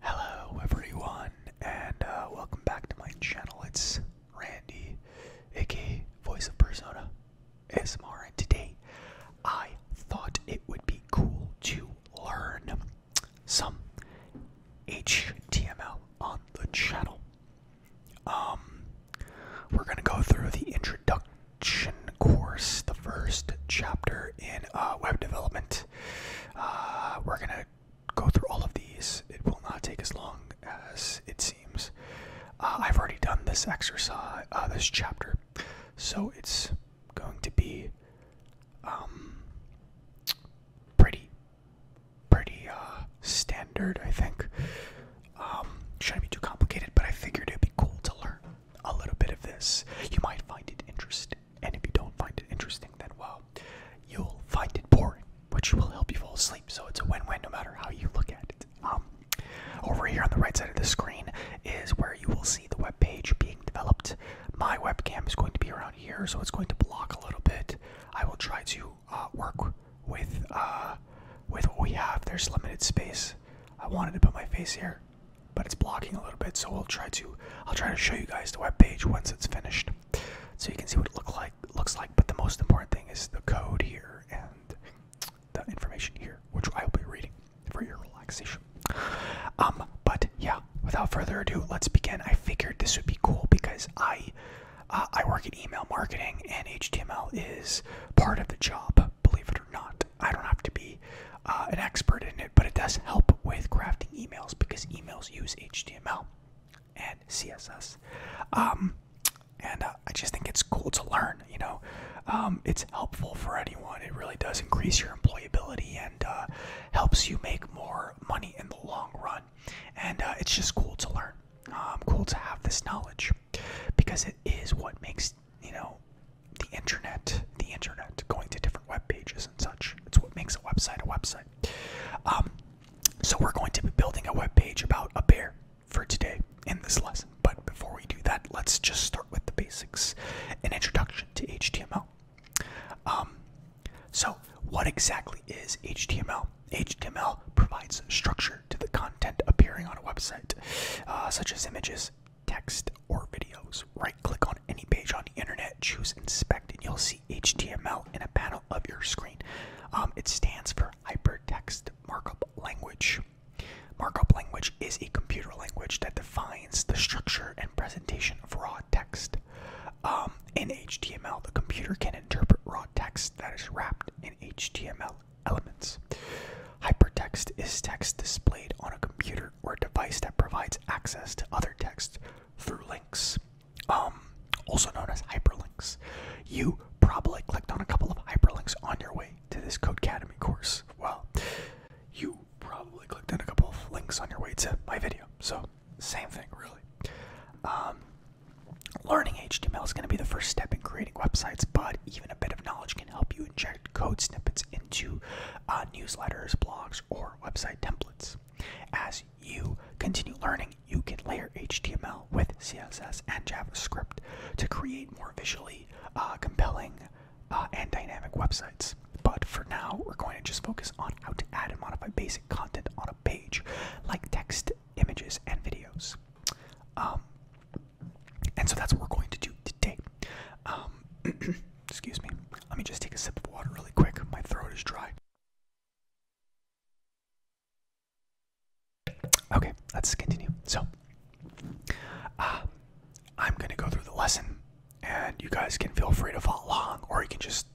Hello, everyone, and uh, welcome back to my channel. It's Randy, aka Voice of Persona ASMR, and today I thought it would be cool to learn some HTML on the channel. Um, we're gonna go through the introduction course, the first chapter in uh, web development. Uh, we're gonna go through all of these. It will not take as long as it seems. Uh, I've already done this exercise, uh, this chapter, so it's going to be um, pretty, pretty standard, I think. Um, shouldn't be too complicated, but I figured it'd be cool to learn a little bit of this. You might find it interesting. And if you don't find it interesting, then well, you'll find it boring, which will help you fall asleep. So it's a win-win no matter how you look at it. Um, over here on the right side of the screen is where you will see the web page being developed. My webcam is going to be around here, so it's going to block a little bit. I will try to uh, work with uh, with what we have. There's limited space. I wanted to put my face here but it's blocking a little bit so i will try to i'll try to show you guys the web page once it's finished so you can see what it look like looks like but the most important thing is the code here and the information here which i will be reading for your relaxation um but yeah without further ado let's begin i figured this would be cool because i uh, i work in email marketing and html is part of the job believe it or not I don't have to be uh, an expert in it, but it does help with crafting emails because emails use HTML and CSS. Um, and uh, I just think it's cool to learn, you know. Um, it's helpful for anyone. It really does increase your employability and uh, helps you make more money in the long run. And it's just cool to learn. Um, cool to have this knowledge because it is what makes you know the internet the internet going to different web pages and such it's what makes a website a website um, so we're going to be building a web page about a bear for today in this lesson but before we do that let's just start with the basics an introduction to html um, so what exactly is html html provides structure to the content appearing on a website uh, such as images text, or videos. Right click on any page on the internet, choose inspect, and you'll see HTML in a panel of your screen. Um, it stands for Hypertext Markup Language. Markup language is a computer language that defines the structure and presentation of raw text. Um, in HTML, the computer can interpret raw text that is wrapped in HTML elements. Hypertext is text displayed on a computer or device that provides access to other text through links, um, also known as hyperlinks. You probably clicked on a couple of hyperlinks on your way to this Codecademy course. Well, you probably clicked on a couple of links on your way to my video. So, same thing, really. Um, learning HTML is going to be the first step in creating websites, but even a bit of knowledge can help you in, ge code snippets into uh, newsletters, blogs, or website templates. As you continue learning, you can layer HTML with CSS and JavaScript to create more visually uh, compelling uh, and dynamic websites. But for now, we're going to just focus on how to add and modify basic content on a page, like text, images, and videos. Um, and so that's what we're going to do today. Um, Excuse me. Let me just take a sip of water really quick. My throat is dry. Okay, let's continue. So, uh, I'm going to go through the lesson, and you guys can feel free to follow along, or you can just,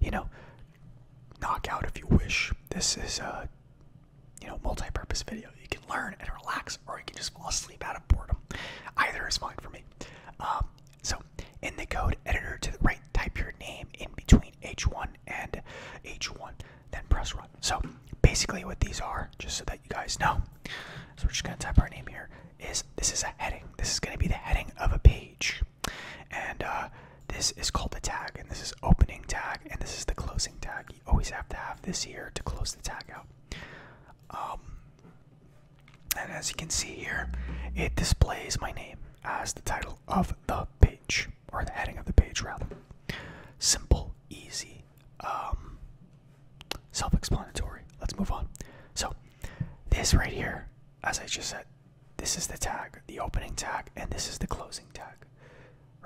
you know, knock out if you wish. This is a, you know, multi-purpose video. You can learn and relax, or you can just fall asleep out of boredom. Either is fine for me. Um, so in the code editor to the right, type your name in between H1 and H1, then press run. So basically what these are, just so that you guys know, so we're just gonna type our name here, is this is a heading. This is gonna be the heading of a page. And uh, this is called a tag, and this is opening tag, and this is the closing tag. You always have to have this here to close the tag out. Um, and as you can see here, it displays my name as the title of the page, or the heading of the page rather. Simple, easy, um, self explanatory. Let's move on. So, this right here, as I just said, this is the tag, the opening tag, and this is the closing tag,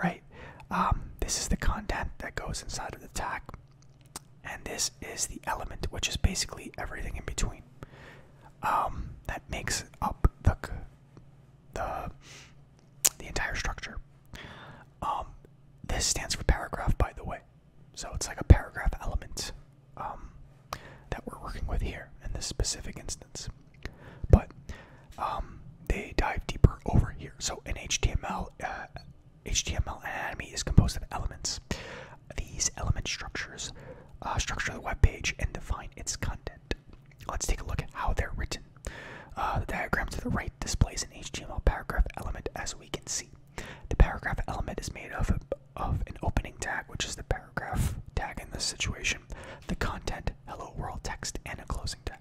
right? Um, this is the content that goes inside of the tag and this is the element, which is basically everything in between um, that makes up the the the entire structure. Um, this stands for paragraph, by the way, so it's like a paragraph element um, that we're working with here in this specific instance. But they dive deeper over here. So in HTML, uh, HTML anatomy is composed of elements. These element structures uh, structure the web page and define its content. Let's take a look at how they're written. Uh, the diagram to the right displays an HTML paragraph element as we can see. The paragraph element is made of, of an opening tag, which is the paragraph tag in this situation, the content, hello world text, and a closing tag.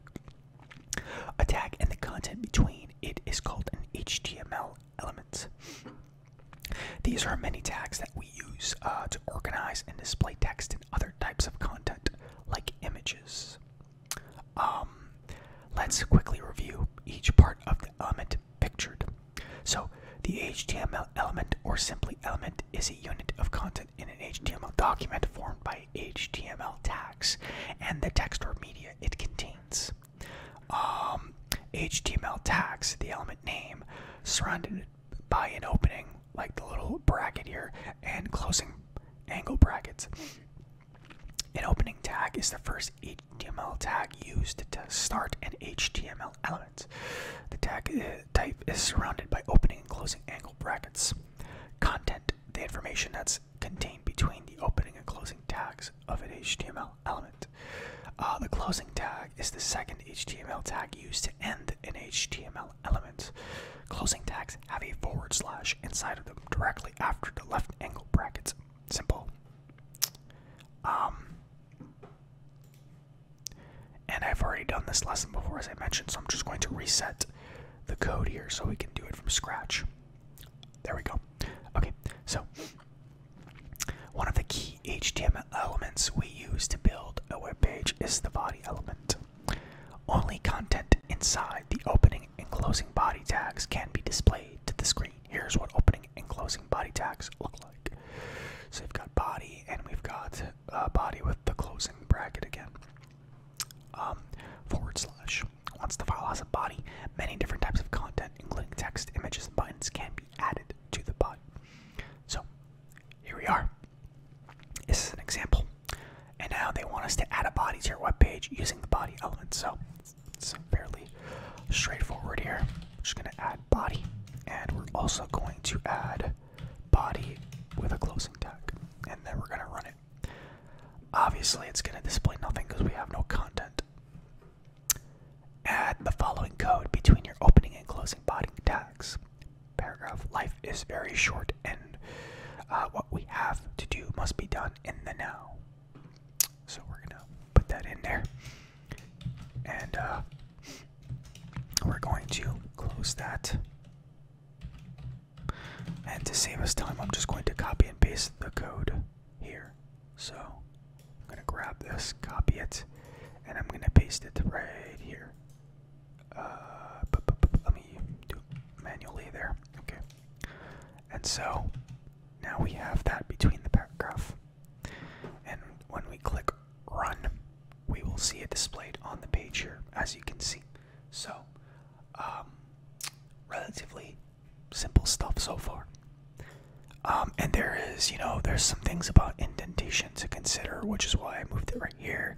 A tag and the content between it is called an HTML elements. These are many tags that we use uh, to organize and display text and other types of content, like images. Um, let's quickly review each part of the element pictured. So, the HTML element, or simply element, is a unit of content in an HTML document formed by HTML tags and the text or media it contains. Um, HTML tags the element name surrounded by an opening like the little bracket here and closing angle brackets. An opening tag is the first HTML tag used to start an HTML element. The tag uh, type is surrounded by opening and closing angle brackets. Content, the information that's contained between the opening and closing tags of an HTML element. Uh, the closing tag is the second HTML tag used to end an HTML element. Closing tags have a forward slash inside of them directly after the left angle brackets. Simple. Um, and I've already done this lesson before, as I mentioned, so I'm just going to reset the code here so we can do it from scratch. There we go. Okay, so one of the key HTML elements we use to build a web page is the body element. Only content inside the opening and closing body tags can be displayed to the screen. Here's what opening and closing body tags look like. So we've got body and we've got uh, body with the closing bracket again. Um, forward slash. Once the file has a body, many different types of content, including text, images, and buttons, can be added to the body. So, here we are. This is an example. And now they want us to add a body to your webpage using the body element. So, it's fairly straightforward here. I'm just going to add body, and we're also going to add body with a closing tag, and then we're going to run it. Obviously, it's going to display nothing because we have no content. Add the following code between your opening and closing body tags. Paragraph Life is very short, and uh, what we have to do must be done in the now. So we're going to put that in there. And uh, we're going to close that. And to save us time, I'm just going to copy and paste the code here. So I'm gonna grab this, copy it, and I'm gonna paste it right here. Uh, let me do it manually there. Okay. And so now we have that between the paragraph. And when we click run, we will see it displayed on the page here, as you can see. So, um, relatively simple stuff so far. Um, and there is, you know, there's some things about indentation to consider, which is why I moved it right here,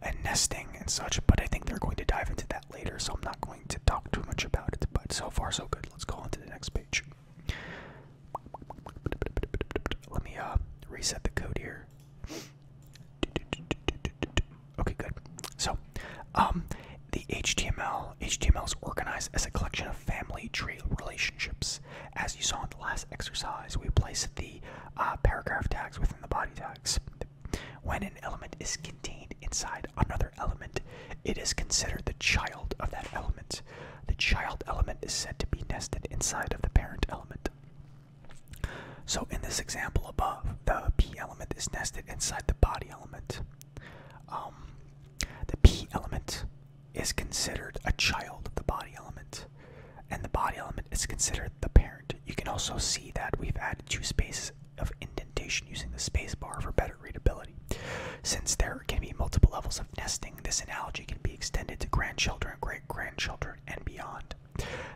and nesting and such. But I think they're going to dive into that later, so I'm not going to talk too much about it. But so far, so good. Let's go on to the next page. Let me uh, reset the code here. Okay, good. So, um, the HTML HTML is organized as a collection of family tree relationships. As you saw in the last exercise, we placed the uh, paragraph tags within the body tags. When an element is contained inside another element, it is considered the child of that element. The child element is said to be nested inside of the parent element. So in this example above, the P element is nested inside the body element. Um, the P element is considered a child of the body element, and the body element is considered the parent. You can also see that we've added two spaces of indentation using the space bar for better readability. Since there can be multiple levels of nesting, this analogy can be extended to grandchildren, great grandchildren, and beyond.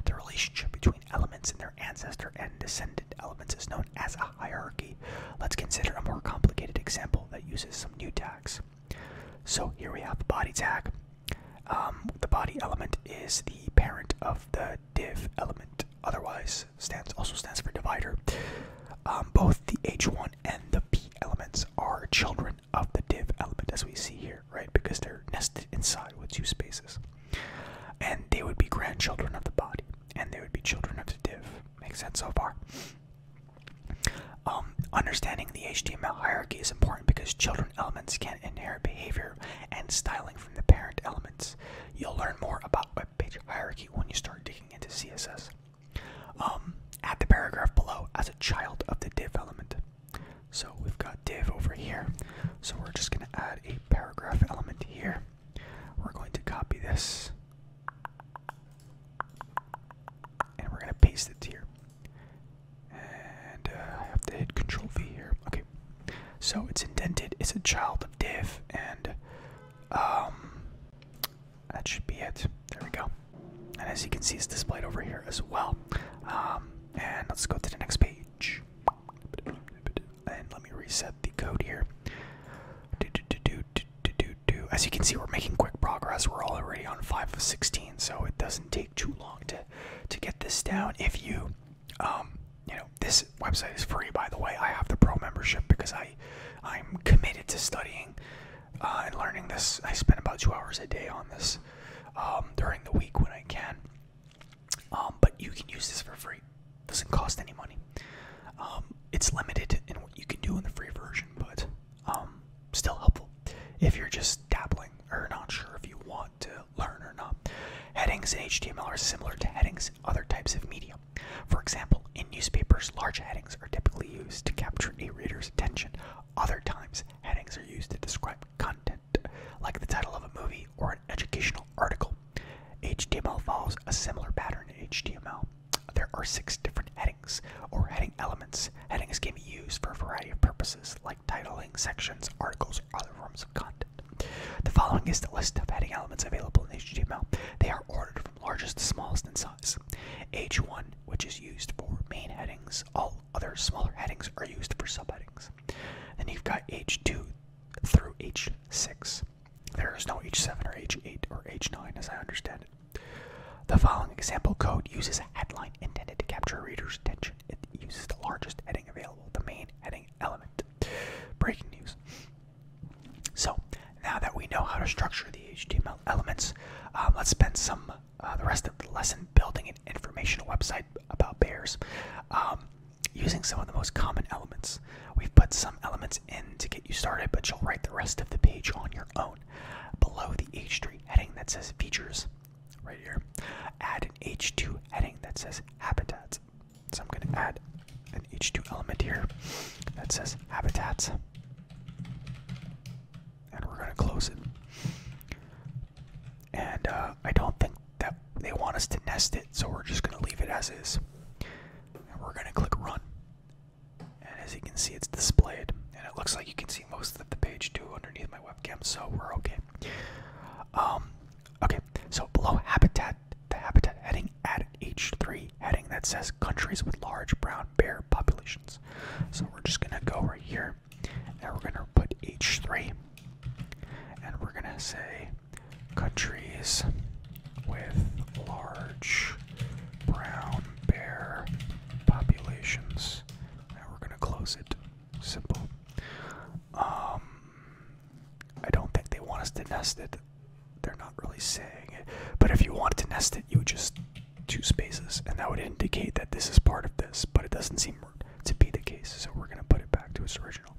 The relationship between elements and their ancestor and descendant elements is known as a hierarchy, let's consider a more complicated example that uses some new tags. So here we have body tag. Um, the body element is the parent of the div element. Otherwise, stands also stands for divider. Um, both the h1 and the p elements are children of the div element, as we see here, right? Because they're nested inside with two spaces, and they would be grandchildren of the body and they would be children of the div. Makes sense so far. Um, understanding the HTML hierarchy is important because children elements can inherit behavior and styling from the parent elements. You'll learn more about web page hierarchy when you start digging into CSS. Um, add the paragraph below as a child of the div element. So we've got div over here. So we're just going to add a paragraph element here. We're going to copy this. And we're going to paste it here. And uh, I have to hit Control V here. Okay. So it's indented. It's a child of div. And um, that should be it. There we go. And as you can see, it's displayed over here as well. Um, and let's go to the next page and let me reset the code here. As you can see, we're making quick progress. We're already on 5 of 16, so it doesn't take too long to to get this down. If you, um, you know, this website is free, by the way. I have the pro membership because I, I'm committed to studying uh, and learning this. I spend about two hours a day on this um, during the week when I can. Um, but you can use this for free free. Doesn't cost any money. Um, it's limited in what you can do in the free version, but um, still helpful if you're just dabbling or not sure if you want to learn or not. Headings in HTML are similar to headings in other types of media. For example, in newspapers, large headings are typically used to capture a reader's attention. Other times, headings are used to describe content, like the title of a movie or educational article. HTML follows a similar pattern in HTML. There are six different headings or heading elements. Headings can be used for a variety of purposes, like titling, sections, articles, or other forms of content. The following is the list of heading elements available in HTML. They are ordered from largest to smallest in size. H1, which is used for main headings, all other smaller headings are used for subheadings. Then you've got H2 through H6. There is no H7 or H8 or H9 as I understand it. The following example code uses a headline intended to capture a reader's attention. It uses the largest heading available, the main heading element. Breaking news. So, now that we know how to structure the HTML elements, um, let's spend some uh, the rest of the lesson building an informational website about bears. Um, using some of the most common elements. We've put some elements in to get you started, but you'll write the rest of the page on your own. Below the H3 heading that says features, right here, add an H2 heading that says habitats. So I'm going to add an H2 element here that says habitats. And we're going to close it. And uh, I don't think that they want us to nest it, so we're just going to leave it as is and we're going to click run. And as you can see, it's displayed, and it looks like you can see most of the page too underneath my webcam, so we're okay. Um, okay, so below habitat, the habitat heading at H3 heading that says countries with large brown bear populations. So we're just gonna go right here, and we're gonna put H3, and we're gonna say countries with large brown bear populations. Now we're gonna close it. Simple. Um, I don't think they want us to nest it. They're not really saying it. But if you wanted to nest it, you would just two spaces, and that would indicate that this is part of this. But it doesn't seem to be the case, so we're gonna put it back to its original.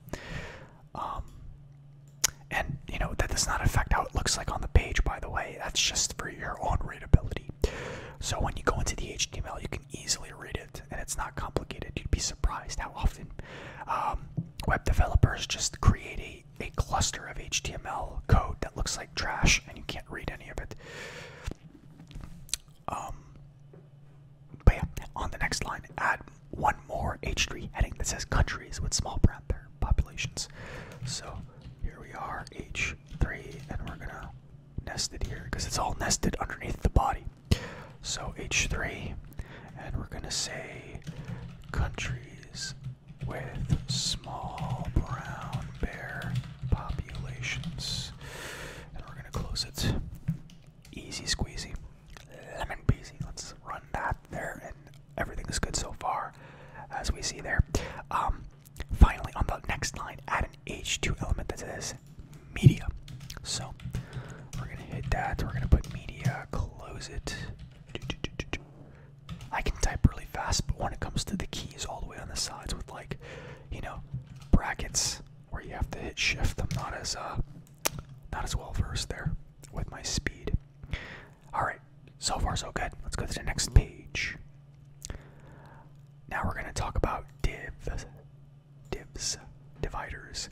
Um, and you know that does not affect how it looks like on the page, by the way. That's just for your own readability. So when you go into the HTML, you can easily read it, and it's not complicated. You'd be surprised how often um, web developers just create a a cluster of HTML code that looks like trash, and you can't read any of it. Um, but on the next line, add one more H3 heading that says countries with small brown pair populations. So here we are, H3, and we're gonna nest it here because it's all nested underneath the body. So H3, and we're gonna say countries with small brown bear populations. And we're gonna close it easy squeezy, lemon peasy. Let's run that there, and everything's good so far, as we see there. Um, finally, on the next line, add an H2 element that says media. So we're gonna hit that. We're gonna put media. Close it. I can type really fast, but when it comes to the keys all the way on the sides with like, you know, brackets where you have to hit shift, I'm not as uh, not as well versed there with my speed. Alright, so far so good. Let's go to the next page. Now we're going to talk about divs, divs, dividers.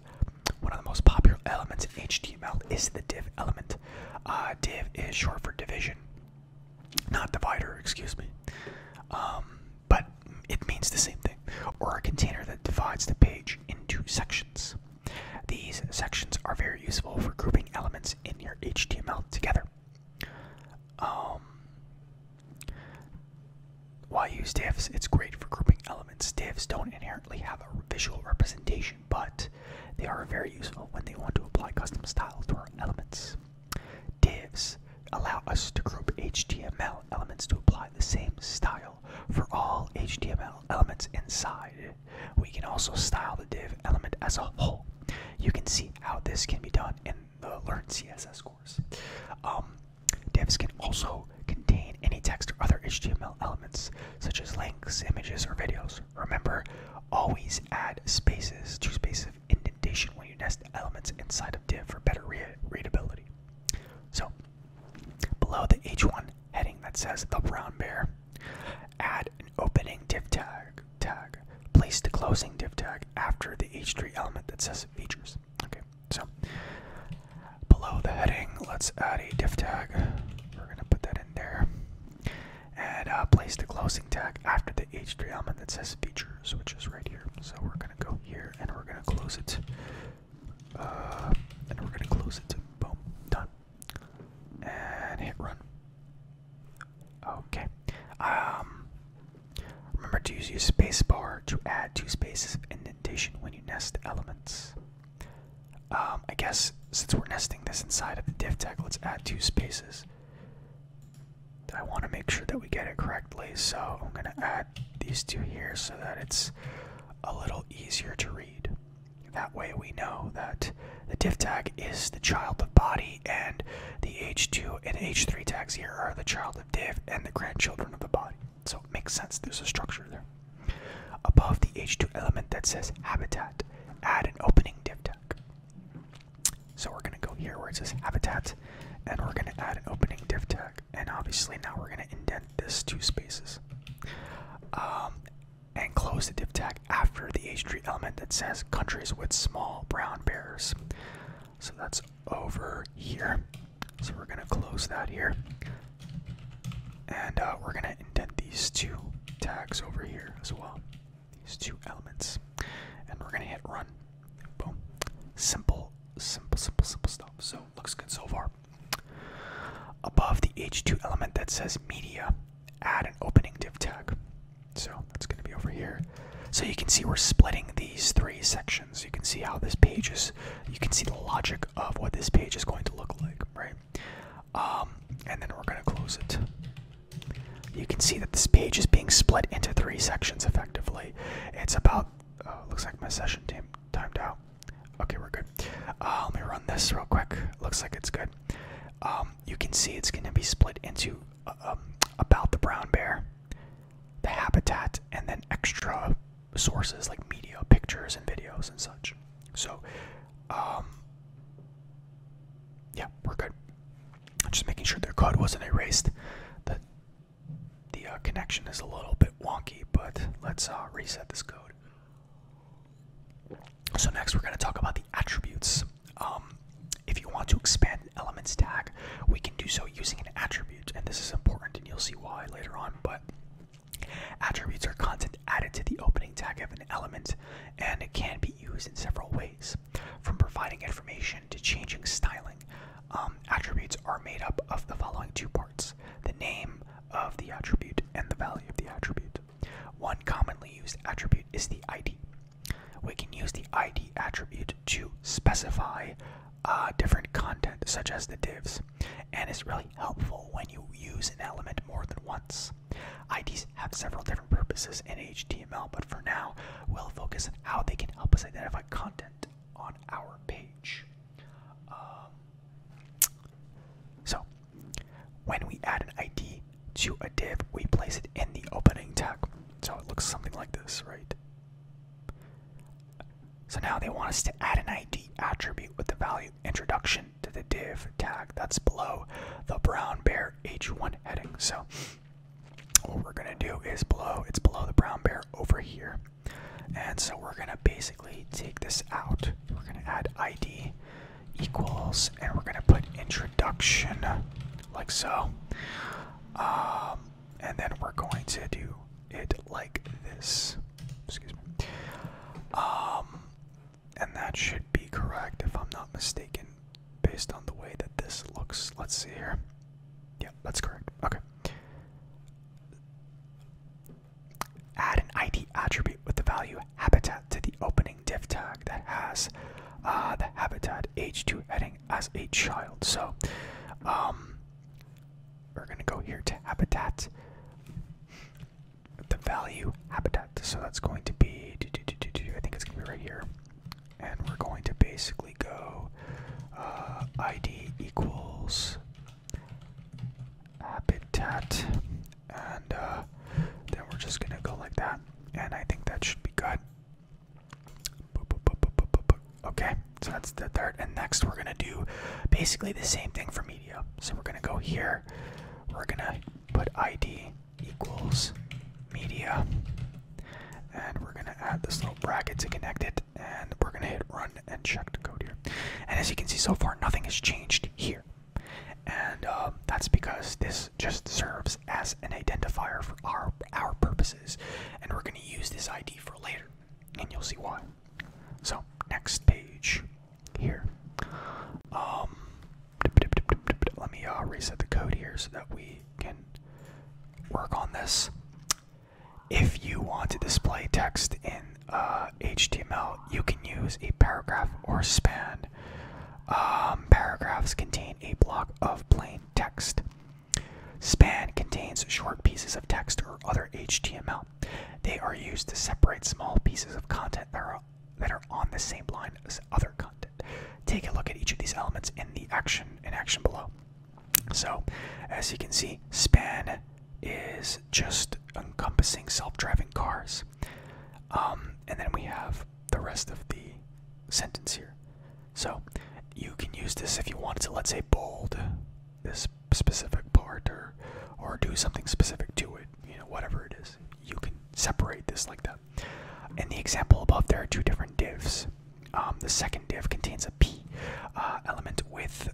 One of the most popular elements in HTML is the div element. Uh, div is short for division, not divider, excuse me. Um, but it means the same thing, or a container that divides the page into sections. These sections are very useful for grouping elements in your HTML together. Um, why use divs? It's great for grouping elements. Divs don't inherently have a visual representation, but they are very useful when they want to apply custom styles to our elements. Divs allow us to group HTML elements to apply the same style for all HTML elements inside. We can also style the div element as a whole. You can see how this can be done in the Learn CSS course. Um, divs can also contain any text or other HTML elements, such as links, images, or videos. Remember, always add spaces to spaces of indentation when you nest elements inside of div for better readability. So, Below the H1 heading that says the brown bear, add an opening div tag. Tag. Place the closing div tag after the H3 element that says features. Okay, so below the heading, let's add a div tag. We're gonna put that in there, and uh, place the closing tag after the H3 element that says features, which is right here. So we're gonna go here, and we're gonna close it. Uh, and we're gonna close it. Boom, done. And hit run. Okay. Um, remember to use your space bar to add two spaces of indentation when you nest elements. Um, I guess since we're nesting this inside of the div tag, let's add two spaces. I want to make sure that we get it correctly, so I'm going to add these two here so that it's a little easier to read. That way we know that the div tag is the child of body and the h2 and h3 tags here are the child of div and the grandchildren of the body. So it makes sense there's a structure there. Above the h2 element that says habitat, add an opening div tag. So we're going to go here where it says habitat and we're going to add an opening div tag. And obviously now we're gonna indent this two spaces. Um, and close the div tag after the h3 element that says countries with small brown bears. So that's over here. So we're gonna close that here. And uh, we're gonna indent these two tags over here as well. These two elements. And we're gonna hit run. Boom. Simple, simple, simple, simple stuff. So looks good so far. Above the H2 element that says media, add an opening div tag. So that's going to be over here. So you can see we're splitting these three sections. You can see how this page is, you can see the logic of what this page is going to look like, right? Um, and then we're going to close it. You can see that this page is being split into three sections effectively. It's about, uh, looks like my session timed out. Okay, we're good. Uh, let me run this real quick. Looks like it's good. Um, you can see it's going to be split into uh, um, about the brown bear, the habitat, and then extra sources like media, pictures, and videos and such. So, um, yeah, we're good. Just making sure their code wasn't erased. The, the uh, connection is a little bit wonky, but let's reset this code. So next we're going to talk about the attributes. Um, if you want to expand an elements tag, we can do so using an attribute, and this is important and you'll see why later on, but attributes are content added to the opening tag of an element and it can be used in several ways, from providing information to changing styling. Um, attributes are made up of the following two parts, the name of the attribute and the value of the attribute. One commonly used attribute is the ID. We can use the ID attribute to specify uh, different content, such as the divs, and it's really helpful when you use an element more than once. IDs have several different purposes in HTML, but for now, we'll focus on how they can help us identify content on our page. Um, so, when we add an ID to a div, we place it in the opening tag. So it looks something like this, right? So now they want us to add an ID attribute with the value introduction to the div tag that's below the brown bear h1 heading. So what we're gonna do is below it's below the brown bear over here. And so we're gonna basically take this out. We're gonna add ID equals, and we're gonna put introduction like so. Um, and then we're going to do it like this. Excuse me. Um, and that should be correct if I'm not mistaken, based on the way that this looks. Let's see here. Yeah, that's correct. Okay add an ID attribute with the value habitat to the opening div tag that has uh, the habitat h2 heading as a child. So um, we're going to go here to habitat, the value habitat. So that's going to be, I think it's going to be right here. And we're going to basically go uh, ID equals habitat and uh, then we're just gonna go like that and I think that should be good okay so that's the third and next we're gonna do basically the same thing for media so we're gonna go here we're gonna put ID equals media and we're gonna add this little bracket to connect it and we're gonna hit run and, check the code here. And as you can see so far, nothing has changed here. And um, that's because this just serves as an identifier for our, our purposes. And we're going to use this ID for later. And you'll see why. So, next page here. Um, let me uh, reset the code here so that we can work on this. If you want to display text in HTML, uh, you can use a paragraph or span. Um, paragraphs contain a block of plain text. Span contains short pieces of text or other HTML. They are used to separate small pieces of content that are, that are on the same line as other content. Take a look at each of these elements in the action in action below. So, as you can see, span is just encompassing self-driving cars. Um, and then we have the rest of the sentence here. So you can use this if you wanted to, let's say bold this specific part or or do something specific to it, you know, whatever it is. You can separate this like that. In the example above, there are two different divs. Um, the second div contains a p uh, element with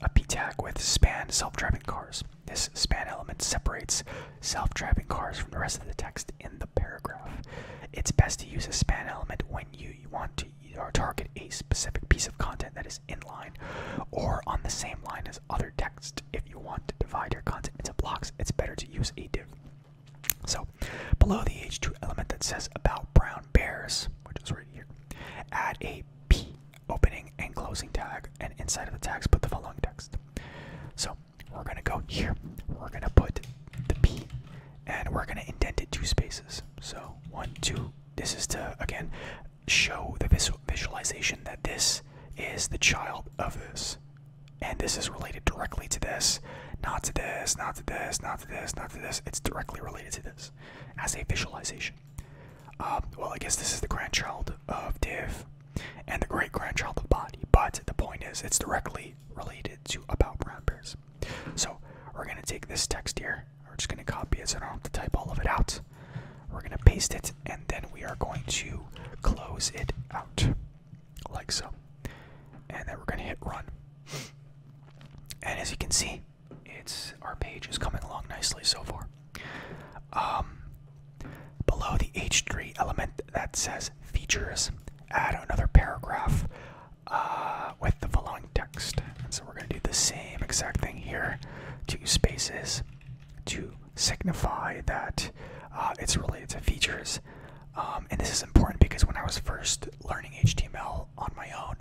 a P tag with span self-driving cars. This span element separates self-driving cars from the rest of the text in the paragraph. It's best to use a span element when you, you want to or target a specific piece of content that is inline or on the same line as other text. If you want to divide your content into blocks, it's better to use a div. So, below the H2 element that says about brown bears, which is right here, add a P opening and closing tag, and inside of the tags put the following text. So we're gonna go here, we're gonna put the P, and we're gonna indent it two spaces. So one, two. This is to again show the visualization that this is the child of this, and this is related directly to this, not to this, not to this, not to this, not to this. It's directly related to this as a visualization. Um, well, I guess this is the grandchild of Div and the great grandchild of Body, but the point is it's directly related to about brown bears. So we're gonna take this text here. We're just gonna copy it so I don't have to type all of it out. We're gonna paste it and then we are going to close it out like so. And then we're gonna hit run. And as you can see, it's our page is coming along nicely so far. Um, below the H3 element that says features, add another paragraph uh, with the following text. so we're going to do the same exact thing here, two spaces to signify that uh, it's related to features. Um, and this is important because when I was first learning HTML on my own,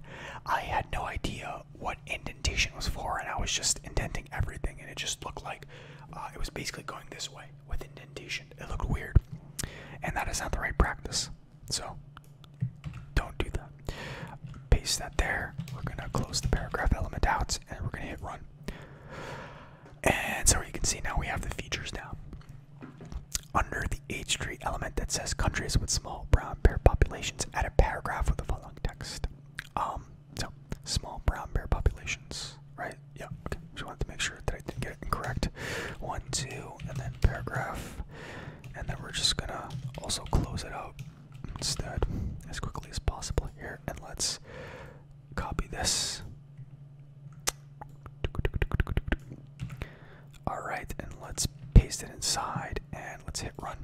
I had no idea what indentation was for, and I was just indenting everything, and it just looked like uh, it was basically going this way with indentation. It looked weird, and that is not the right practice. So don't do that. Paste that there. We're gonna close the paragraph element out, and we're gonna hit run. And so you can see now we have the features now. Under the h3 element that says countries with small brown bear populations, add a paragraph with a potluck text. Um, so small brown bear populations, right? Yeah. Okay. Just wanted to make sure that I didn't get it incorrect. One, two, and then paragraph, and then we're just gonna also close it out instead as quickly as possible here, and let's copy this. All right, and let's paste it inside, and let's hit run.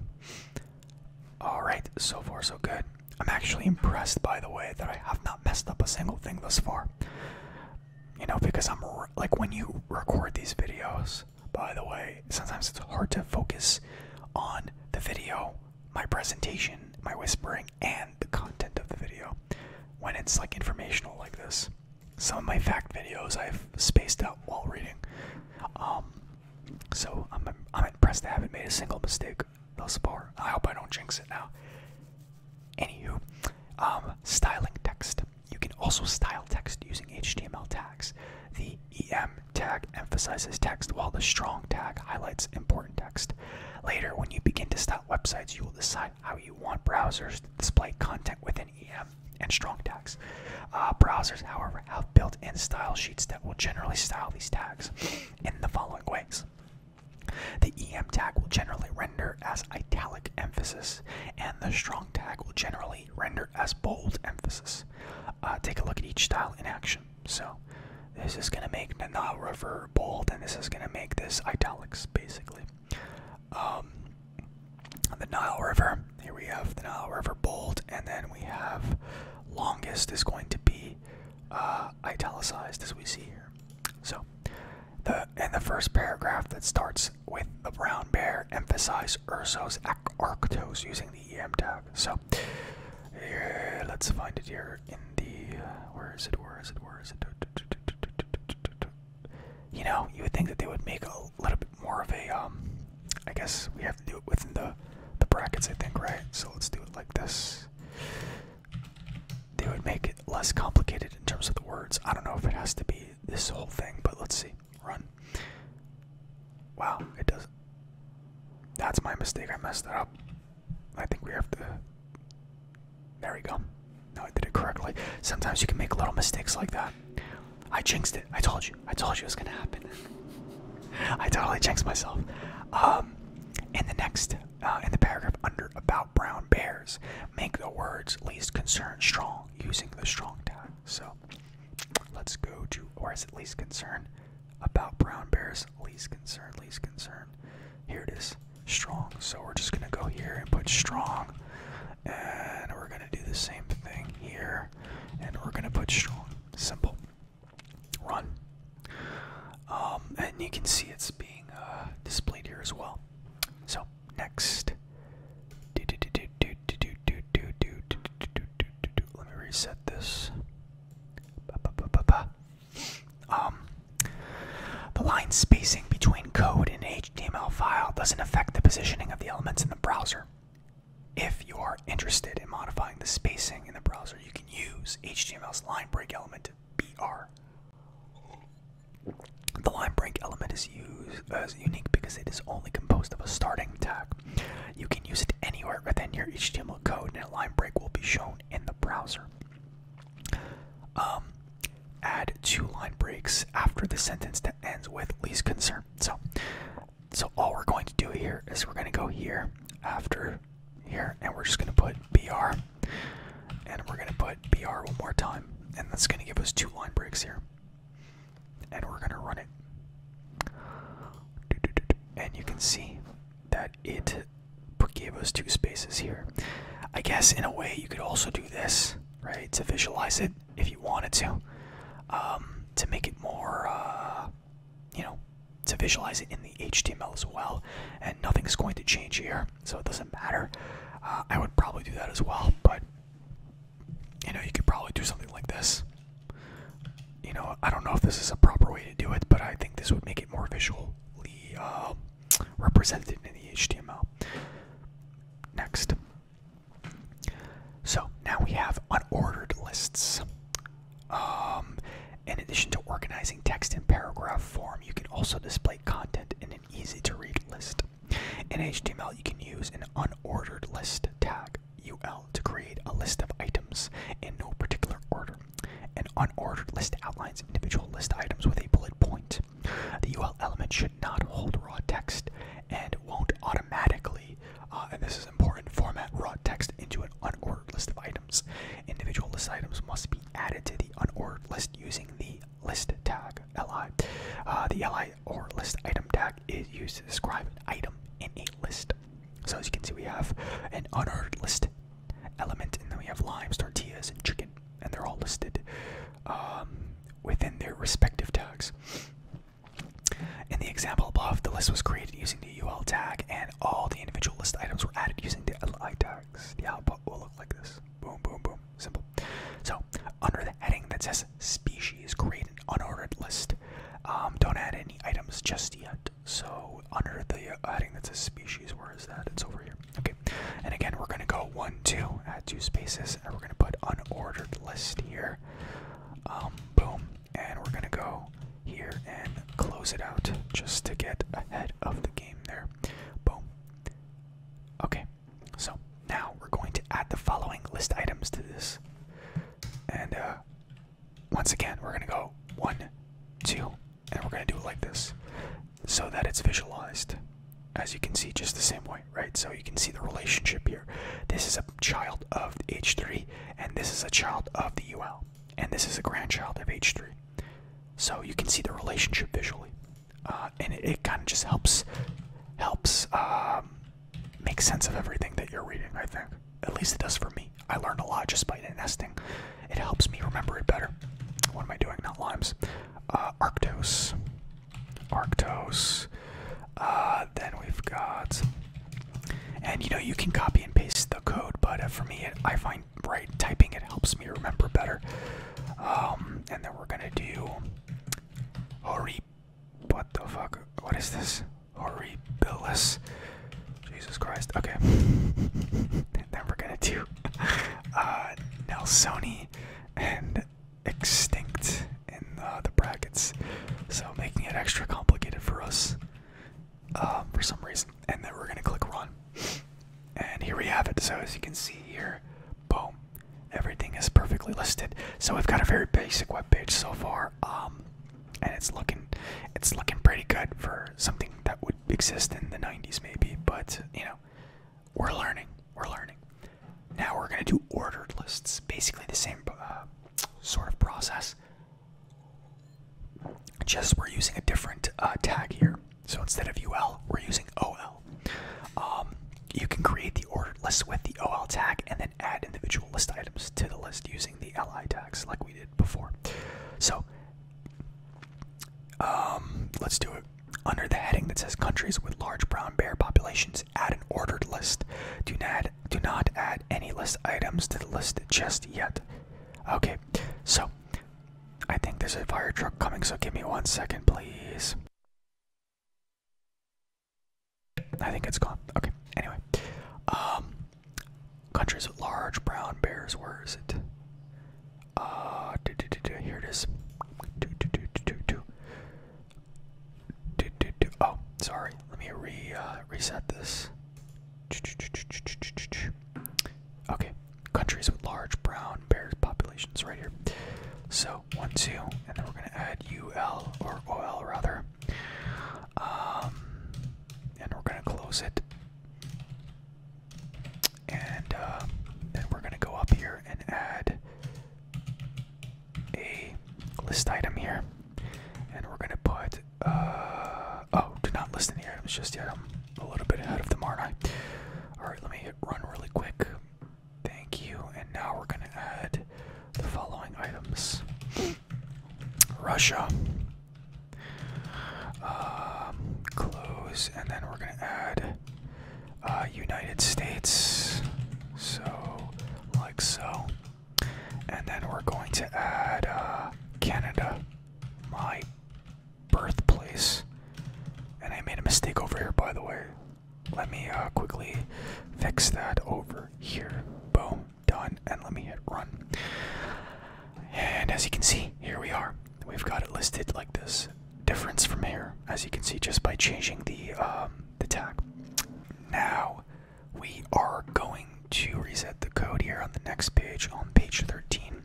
Alright, so far so good. I'm actually impressed, by the way, that I have not messed up a single thing thus far. You know, because I'm like when you record these videos, by the way, sometimes it's hard to focus on the video, my presentation, my whispering, and the content of the video when it's like informational like this. Some of my fact videos I've spaced out while reading. Um, so I'm I'm impressed I haven't made a single mistake thus far. I hope I don't jinx it now. Anywho, um, styling text. You can also style text using HTML tags. The EM tag emphasizes text, while the strong tag highlights important text. Later, when you begin to style websites, you will decide how you want browsers to display content within and EM and strong tags. Uh, browsers, however, have built-in style sheets that will generally style these tags in the following ways. The EM tag will generally render as italic emphasis, and the strong tag will generally render as bold emphasis. Uh, take a look at each style in action. So, this is going to make the Nana River bold, and this is going to make this italics, basically. Um, the Nile River. Here we have the Nile River bold, and then we have longest is going to be uh, italicized as we see here. So, the in the first paragraph that starts with the brown bear, emphasize Ursos ac arctos using the EM tag. So, here, let's find it here in the uh, where is it? Where is it? Where is it? You know, you would think that they would make a little more of a um I guess we have to do it within the the brackets I think right so let's do it like this they would make it less complicated in terms of the words I don't know if it has to be this whole thing but let's see run wow it doesn't that's my mistake I messed that up I think we have to there we go no I did it correctly sometimes you can make little mistakes like that I jinxed it. I told you. I told you it was gonna happen. I totally jinxed myself. Um, in the next, uh, in the paragraph under about brown bears, make the words least concern strong using the strong tag. So, let's go to, or is it least concern? About brown bears, least concern, least concern. Here it is, strong. So we're just gonna go here and put strong. And we're going to do the same thing here. And we're going to put strong. Simple. Run. and you can see it's being displayed here as well. So, next. Let me reset this. the line spacing between code and HTML file doesn't affect the positioning of the elements in the browser. If you are interested in modifying the spacing in the browser, you can use HTML's line break element BR. The line break element is used as unique because it is only composed of a starting tag. You can use it anywhere within your HTML code, and a line break will be shown in the browser. Um, add two line breaks after the sentence that ends with least concern. So, so all we're going to do here is we're going to go here after here and we're just going to put br and we're going to put br one more time and that's going to give us two line breaks here and we're going to run it and you can see that it gave us two spaces here i guess in a way you could also do this right to visualize it if you wanted to, um, to make it more, uh, you know, to visualize it in the HTML as well. And nothing's going to change here, so it doesn't matter. Uh, I would probably do that as well, but you know, you could probably do something like this. You know, I don't know if this is a proper way to do it, but I think this would make it more visually uh, represented in the HTML. Next. So now we have unordered lists. Um, in addition to organizing text in paragraph form, you can also display content in an easy to read list. In HTML, you can use an unordered list tag UL to create a list of items in no particular order. An unordered list outlines individual list items with a bullet point. The UL element should not hold raw text and won't automatically uh, and this is important, format raw text into an unordered list of items. Individual list items must be added to the unordered list using the list tag, li. Uh, the li or list item tag is used to describe an item in a list. So as you can see, we have an unordered list element, and then we have limes, tortillas, and chicken, and they're all listed um, within their respective tags. In the example above, the list was created using the UL tag, and all the individual list items were added using the LI tags. The output will look like this. Boom, boom, boom. Simple. So, under the heading that says species, create an unordered list. Um, don't add any items just yet. So, under the uh, heading that says species, where is that? It's over here. Okay. And again, we're going to go 1, 2, add two spaces, and we're going to put unordered list here. Um, boom. And we're gonna go here and close it out just to get ahead of the game there. Boom. Okay, so now we're going to add the following list items to this. And uh, once again, we're gonna go one, two, and we're gonna do it like this so that it's visualized. As you can see, just the same way right? So you can see the relationship here. This is a child of H3, and this is a child of the UL, and this is a grandchild of H3. So you can see the relationship visually, uh, and it, kind of just helps helps um, make sense of everything that you're reading. I think at least it does for me. I learned a lot just by nesting. It helps me remember it better. What am I doing? Not limes. Uh, Arctos. Arctos. Uh, then we've got, and you know, you can copy and paste the code, but uh, for me, I find right typing it helps me remember better. Um, and then we're gonna do Hori. What the fuck? What is this? Horribilis. Jesus Christ. Okay. and then we're gonna do uh, Nelsoni and extinct in uh, the brackets, so making it extra complicated for us um, for some reason. And then we're gonna click run, and here we have it. So as you can see here, boom, everything is perfectly listed. So we've got a very basic web page so far, um, and it's looking it's looking pretty good for something that would exist in the 90s maybe. But you know, we're learning, we're learning. Now we're going to do ordered lists, basically the same uh, sort of process. Just we're using a different uh, tag here. So instead of UL, we're using OL. Um, you can create the ordered list with the OL tag and then add individual list items to the list using the LI tags like we did before. So um, let's do it. Under the heading that says countries with large brown bear populations, add ordered list. Do not do not add any list items to the list just yet. Okay, so I think there's a fire truck coming, so give me one second, please. I think it's gone. Okay. Anyway, um, countries with large brown bears. Where is it? Uh, here it is. Oh, sorry. Let me re uh, reset this. Okay, countries with large brown bear populations right here. So one, two, and then we're gonna add UL or OL rather. Um, and we're gonna close it. And then uh, we're gonna go up here and add a list item here, and we're gonna put. Uh, oh, do not list any items just yet. I'm a little bit ahead of the are I? All right, let me run really quick. Thank you. And now we're gonna add the following items: Russia, um, clothes, and then we're gonna add uh, United States. So, like so. And then we're going to add uh, Canada, my birthplace. And I made a mistake over here, by the way. Let me uh, quickly fix that over here. Boom, done. And let me hit run. And as you can see, here we are. We've got it listed like this. Difference from here, as you can see, just by changing the um, the tag now we are going to reset the code here on the next page on page 13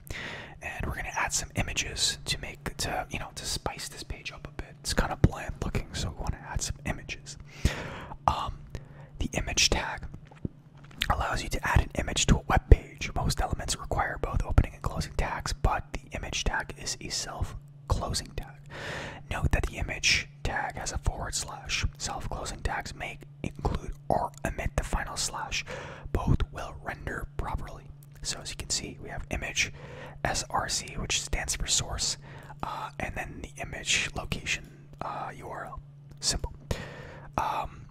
and we're going to add some images to make to you know to spice this page up a bit it's kind of bland looking so we want to add some images um, the image tag allows you to add an image to a web page most elements require both opening and closing tags but the image tag is a self closing tag. Note that the image tag has a forward slash. Self-closing tags may include or omit the final slash. Both will render properly. So as you can see, we have image src, which stands for source, uh, and then the image location URL. Uh, Simple. Um,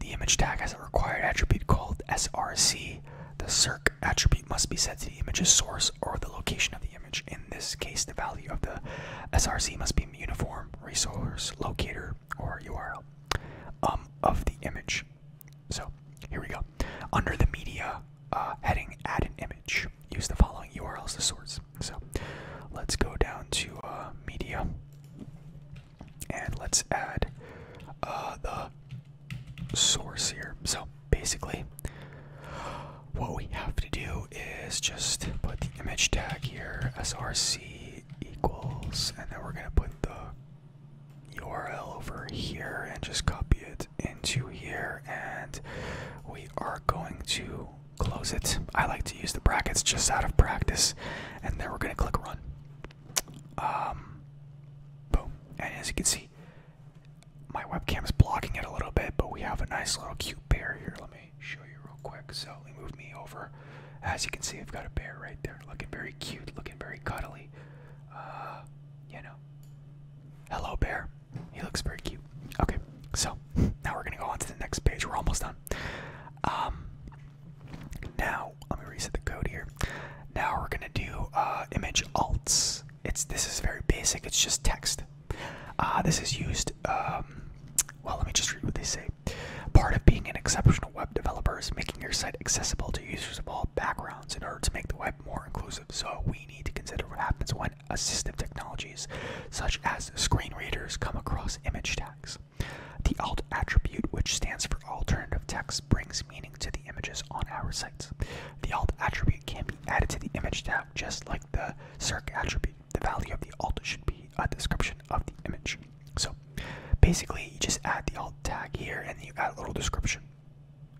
the image tag has a required attribute called src, the src attribute must be set to the image's source or the location of the image. In this case, the value of the src must be uniform resource locator or URL um, of the image. So here we go. Under the media uh, heading, add an image. Use the following URLs as source. So let's go down to uh, media and let's add uh, the source here. So basically, what we have to do is just put the image tag here, src equals, and then we're gonna put the URL over here and just copy it into here, and we are going to close it. I like to use the brackets just out of practice, and then we're gonna click run. Um, boom, and as you can see, my webcam is blocking it a little bit, but we have a nice little cute bear here. Let me show you real quick. So let me move me over. As you can see, I've got a bear right there, looking very cute, looking very cuddly. Uh, you know. Hello, bear. He looks very cute. Okay, so now we're gonna go on to the next page. We're almost done. Um, now let me reset the code here. Now we're gonna do uh, image alts this. It's this is very basic. It's just text. Uh, this is used. Um, well, let me just read what they say. Part of being an exceptional web developer is making your site accessible to users of all backgrounds in order to make the web more inclusive. So we need to consider what happens when assistive technologies, such as screen readers, come across image tags. The alt attribute, which stands for alternative text, brings meaning to the images on our sites. The alt attribute can be added to the image tab just like the src attribute. The value of the alt should be a description of the image. So basically you just add the alt tag here and you add a little description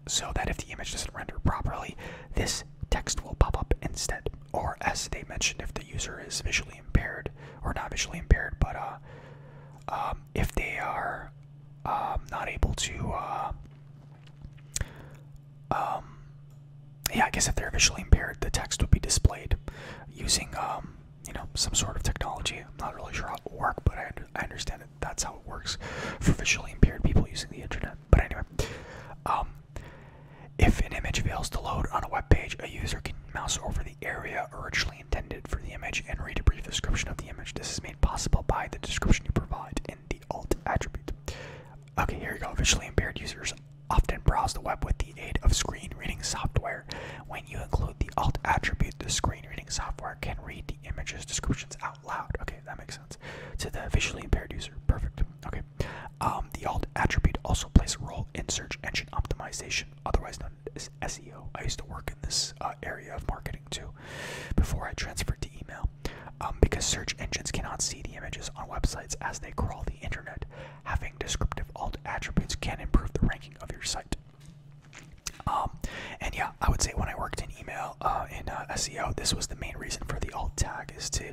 so that if the image doesn't render properly, this text will pop up instead. Or as they mentioned, if the user is visually impaired, or not visually impaired, but uh, um, if they are um, not able to uh, um, yeah, I guess if they're visually impaired, the text would be displayed using, um, you know, some sort of technology. I'm not really sure how it works, but I, understand that that's how it works for visually impaired people using the internet. But anyway, um, if an image fails to load on a web page, a user can mouse over the area originally intended for the image and read a brief description of the image. This is made possible by the description you provide the alt attribute. Okay, here we go. Visually impaired users often browse the web with the aid of screen reading software. When you include the alt attribute, the screen reading software can read the image's descriptions out loud. Okay, that makes sense. To the visually impaired user, perfect. Okay. Um, the alt attribute also plays a role in search engine optimization, otherwise known as SEO. I used to work in this uh, area of marketing heading to before I transferred to email. Um, because search engines cannot see the images on websites as they crawl the internet, having descriptive alt attributes can improve the ranking of your site. Um, and yeah, I would say when I worked in email uh, in uh, SEO, this was the main reason for the alt tag is to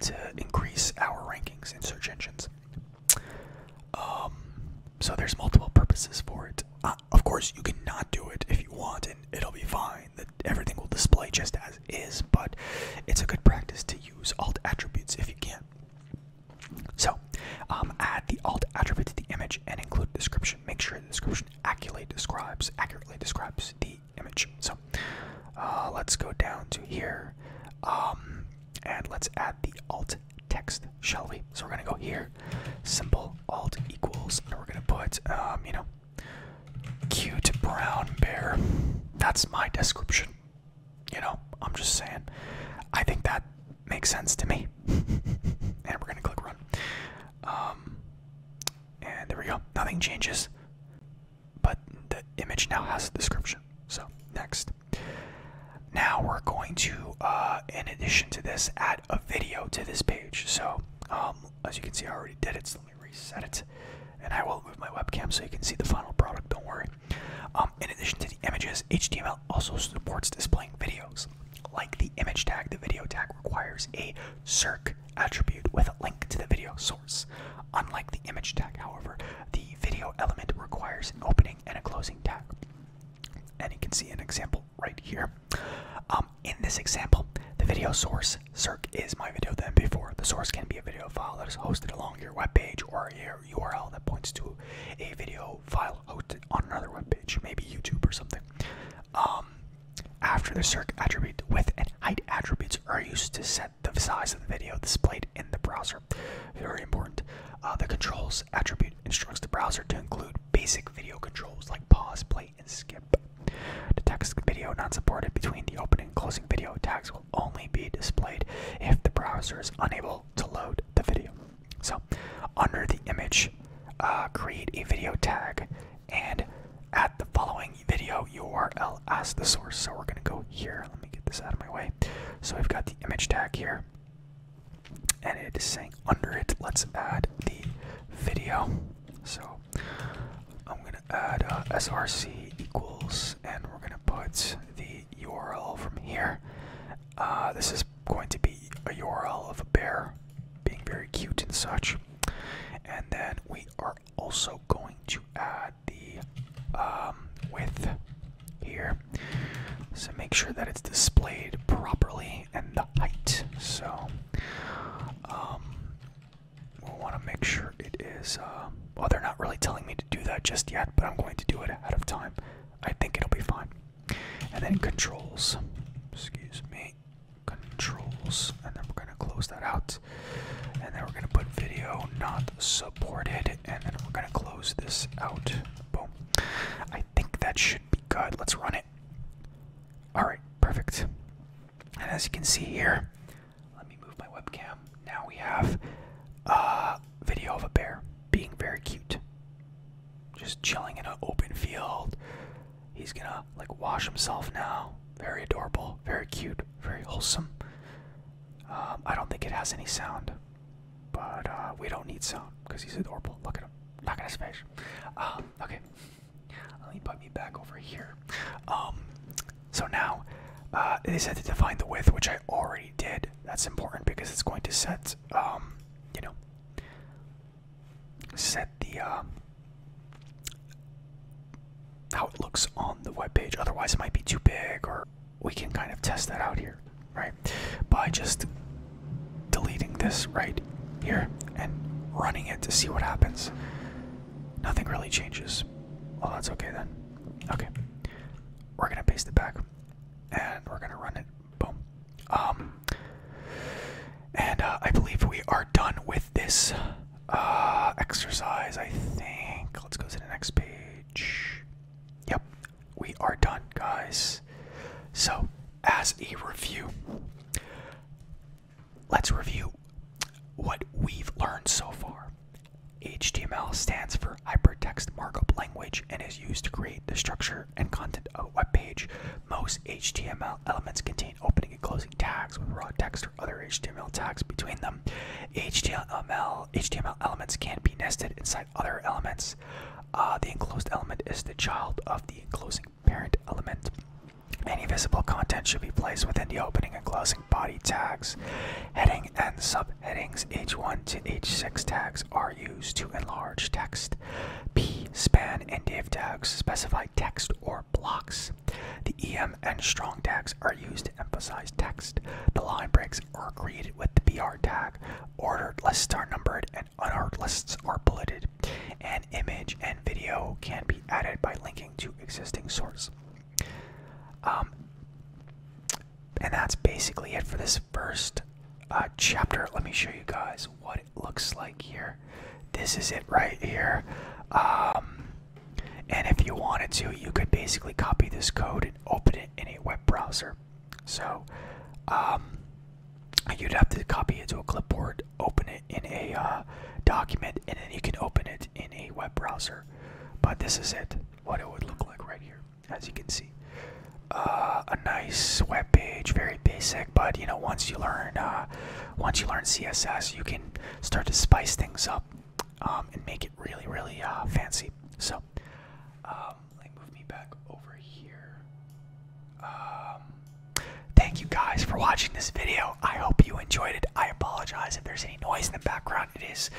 to increase our rankings in search engines. Um, so there's multiple purposes for it. Uh, of course, you can not do it if you want, and it'll be fine. That everything will display just as is. But it's a good practice to use alt attributes if you can. So, um, add the alt attribute to the image and include description. Make sure the description accurately describes accurately describes the image. So, uh, let's go down to here, um, and let's add the alt text, shall we? So we're gonna go here, simple alt equals, and we're gonna put, um, you know, Cute brown bear. That's my description. You know, I'm just saying. I think that makes sense to me. and we're gonna click run. Um, and there we go. Nothing changes, but the image now has a description. So next. Now we're going to, uh, in addition to this, add a video to this page. So um, as you can see, I already did it, so let me reset it. And I will move my webcam so you can see the final product, don't worry. Um, in addition to the images, HTML also supports displaying videos. Like the image tag, the video tag requires a src attribute with a link to the video source. Unlike the image tag, however, the video element requires an opening and a closing tag. And you can see an example right here. Um, in this example, the video source circ is my video then before. The source can be a video file that is hosted along your webpage or your URL that points to a video file hosted on another webpage, maybe YouTube or something. Um, after the circ attribute, width and height attributes are used to set the size of the video displayed in the browser. Very important. Uh, the controls attribute instructs the browser to include basic video controls like pause, play, and skip. The text video not supported between the opening and closing video tags will only be displayed if the browser is unable to load the video. So, under the image, uh, create a video tag and add the following video URL as the source. So, we're going to go here. Let me get this out of my way. So, we've got the image tag here, and it is saying under it, let's add the video. So I'm gonna add uh, src equals, and we're gonna put the URL from here. Uh, this is going to be a URL of a bear being very cute and such. And then we are also going to add the um, width here. So make sure that it's displayed properly and the height. So um, we'll want to make sure it is. Uh, well, they're not really telling me to do that just yet, but I'm going to do it ahead of time. I think it'll be fine. And then controls. Excuse me. Controls. And then we're going to close that out. And then we're going to put video not supported. And then we're going to close this out. Boom think that should be good. Let's run it. Alright, perfect. And as you can see here, let me move my webcam. Now we have a video of a bear being very cute. Just chilling in an open field. He's gonna like wash himself now. Very adorable, very cute, very wholesome. Um, I don't think it has any sound, but uh, we don't need sound because he's adorable. Look at him, look at his face. Um, okay, let me put me back over here. Um, so now uh, they said to define the width, which I already did. That's important because it's going to set, um, you know, set the um, how it looks on the web page. Otherwise, it might be too big, or we can kind of test that out here, right? By just deleting this right here and running it to see what happens. Nothing really changes. Well, that's okay then. Okay. We're going to paste it back and we're going to run it. Boom. Um, and uh, I believe we are done with this uh, exercise, I think. Let's go to the next page. Yep, we are done, guys. So as a review. Let's review what we've learned so far. HTML stands for Hypertext Markup Language and is used to create the structure and content of a web page. Most HTML elements contain opening and closing tags with raw text or other HTML tags between them. HTML, elements can be nested inside other elements. Uh, the enclosed element is the child of the enclosing parent element. Any visible content should be placed within the opening and closing body tags. Heading and subheadings H1 to H6 tags are used to enlarge text. P, span, and div tags specify text or blocks. The EM and strong tags are used to emphasize text. The line breaks are created with the BR tag. Ordered lists are numbered and unart lists are bulleted. and image and video can be added by linking to existing source. Um, and that's basically it for this first uh, chapter. Let me show you guys what it looks like here. This is it right here. Um, and if you wanted to, you could basically copy this code and open it in a web browser. So, um, you'd have to copy it to a clipboard, open it in a uh, document, and then you can open it in a web browser. But this is it, what it would look like right here, as you can see. Uh, a nice web page, very basic, but you know, once you learn, uh, once you learn CSS, you can start to spice things up um, and make it really, really fancy. So, um, let me move me back over here. Um, thank you guys for watching this video. I hope you enjoyed it. I apologize if there's any noise in the background. It is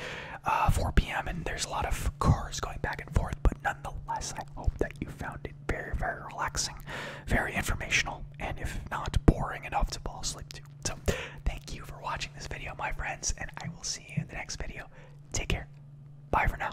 uh, 4 p.m. and there's a lot of cars going back and forth, but nonetheless, I hope that you found it very, very relaxing, very informational, and if not, boring enough to fall asleep to. So, thank you for watching this video, my friends, and I will see you in the next video. Take care. Bye for now.